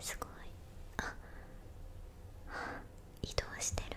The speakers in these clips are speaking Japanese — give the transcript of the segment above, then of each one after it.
すごいああ、移動してる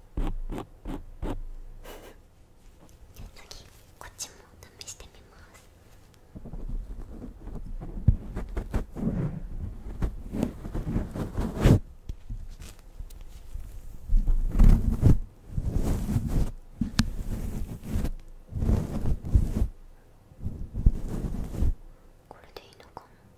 次こっちも試してみますこれでいいのかな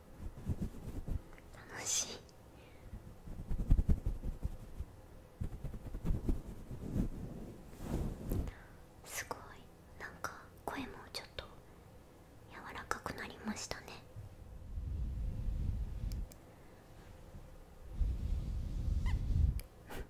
楽しいすごいなんか声もちょっと柔らかくなりましたね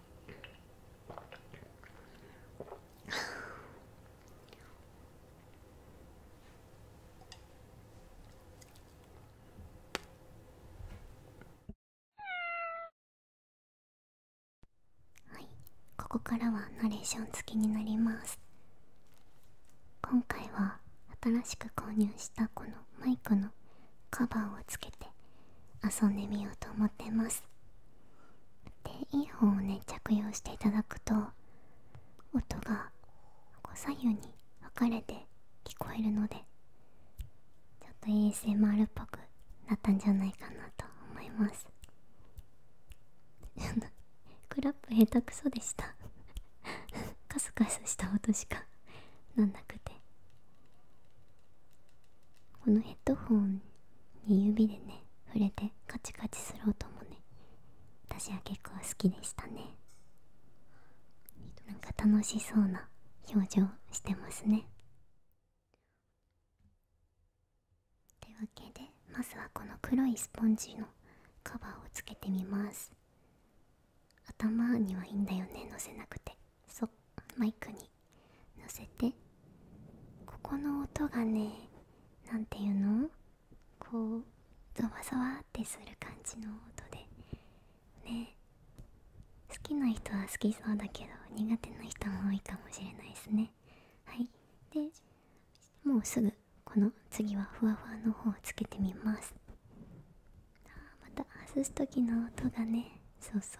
はいここからはナレーション付きになります今回は新しく購入したこのマイクのカバーをつけて遊んでみようと思ってますでいい方をね着用していただくと音が左右に分かれて聞こえるのでちょっと ASMR っぽくなったんじゃないかなと思います クラップ下手くそでした カスカスした音しかなんなくてこのヘッドホンに指でね触れてカチカチする音もね私は結構好きでしたねなんか楽しそうな表情してますねというわけでまずはこの黒いスポンジのカバーをつけてみます頭にはいいんだよねのせなくてそマイクに乗せてここの音がね何ていうのこうゾワゾワってする感じの音でね好きな人は好きそうだけど苦手な人も多いかもしれないですねはいでもうすぐこの次はふわふわの方をつけてみますまた外す時の音がねそうそ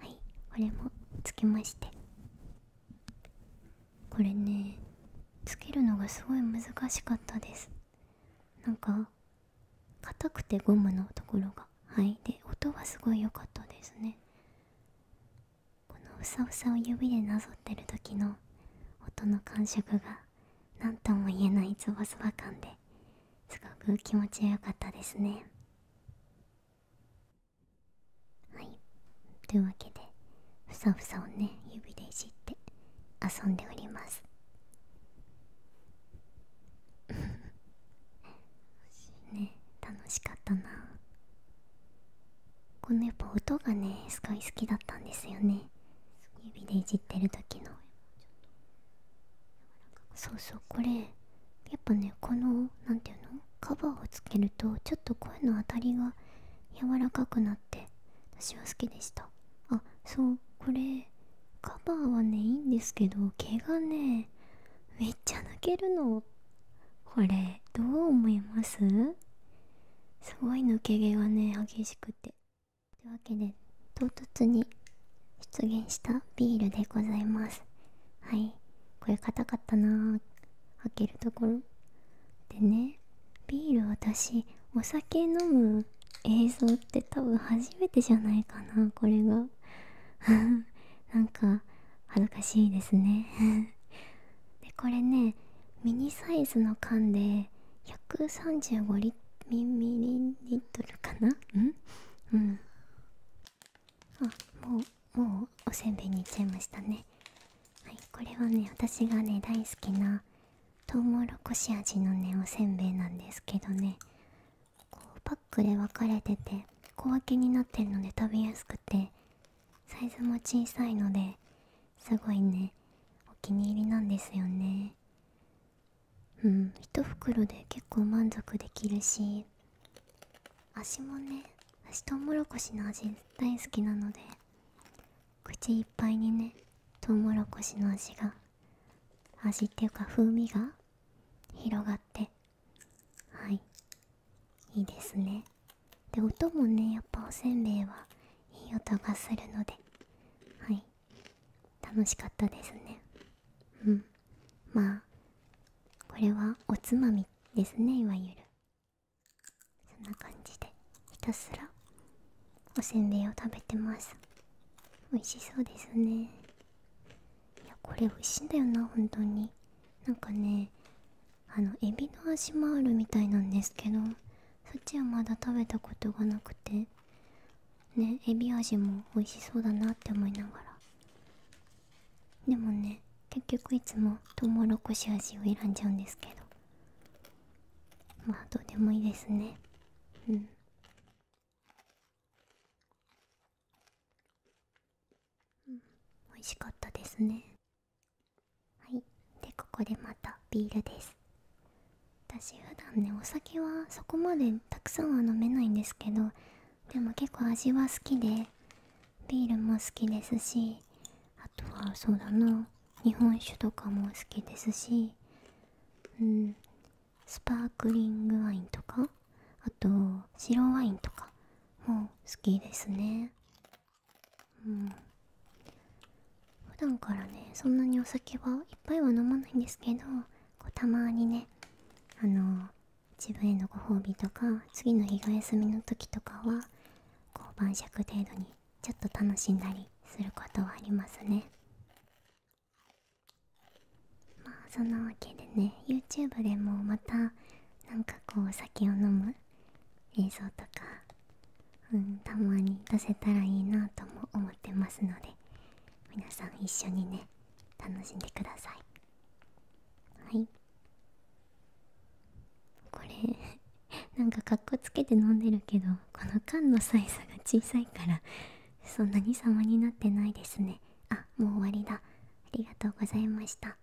うはいこれもつけましてこれねつけるのがすごい難しかったですなんか硬くてゴムのところがはいで音はすごい良かったですねこのふさふさを指でなぞってる時の音の感触が何とも言えないズバズバ感ですごく気持ちよかったですねはいというわけでふさふさをね指でいじって遊んでおります ね楽しかったなこのやっぱ音がねすごい好きだったんですよね指でいじってる時のそうそうこれやっぱねこの何ていうのカバーをつけるとちょっと声の当たりが柔らかくなって私は好きでしたあそうこれカバーはねいいんですけど毛がねめっちゃ抜けるのこれどう思いますすごい抜け毛がね激しくてというわけで唐突に出現したビールでございますはいこれ硬かったな開けるところでねビール私お酒飲む映像って多分初めてじゃないかなこれが なんか恥ずかしいですね でこれねミニサイズの缶で135ミリリットルかなうんあもうもうおせんべいにいっちゃいましたねはいこれはね私がね大好きなとうもろこし味のねおせんべいなんですけどねこうパックで分かれてて小分けになってるので食べやすくてサイズも小さいのですごいねお気に入りなんですよねうん1袋で結構満足できるし足もね足トウモロコシの味大好きなので口いっぱいにねトウモロコシの味が味っていうか風味が広がってはいいいですねで音もねやっぱおせんべいはいい音がするのではい楽しかったですねうんまあこれはおつまみですねいわゆるそんな感じでひたすらおせんべいを食べてます美味しそうですねいやこれ美味しいんだよな本当になんかねあのエビの味もあるみたいなんですけどそっちはまだ食べたことがなくてねエビ味も美味しそうだなって思いながらでもね結局いつもトウモロコシ味を選んじゃうんですけどまあどうでもいいですねうん美味しかったですねはいでここでまたビールです私普段ねお酒はそこまでたくさんは飲めないんですけどでも結構味は好きでビールも好きですしあとはそうだな日本酒とかも好きですしうんスパークリングワインとかあと白ワインとかも好きですねうん普段からねそんなにお酒はいっぱいは飲まないんですけどたまにねあの自分へのご褒美とか次の日が休みの時とかはこう晩酌程度にちょっと楽しんだりすることはありますねまあそんなわけでね YouTube でもまたなんかこうお酒を飲む映像とか、うん、たまに出せたらいいなとも思ってますので皆さん一緒にね楽しんでくださいはいこれ なんかかっこつけて飲んでるけどこの缶のサイズが小さいからそんなに様になってないですねあもう終わりだありがとうございました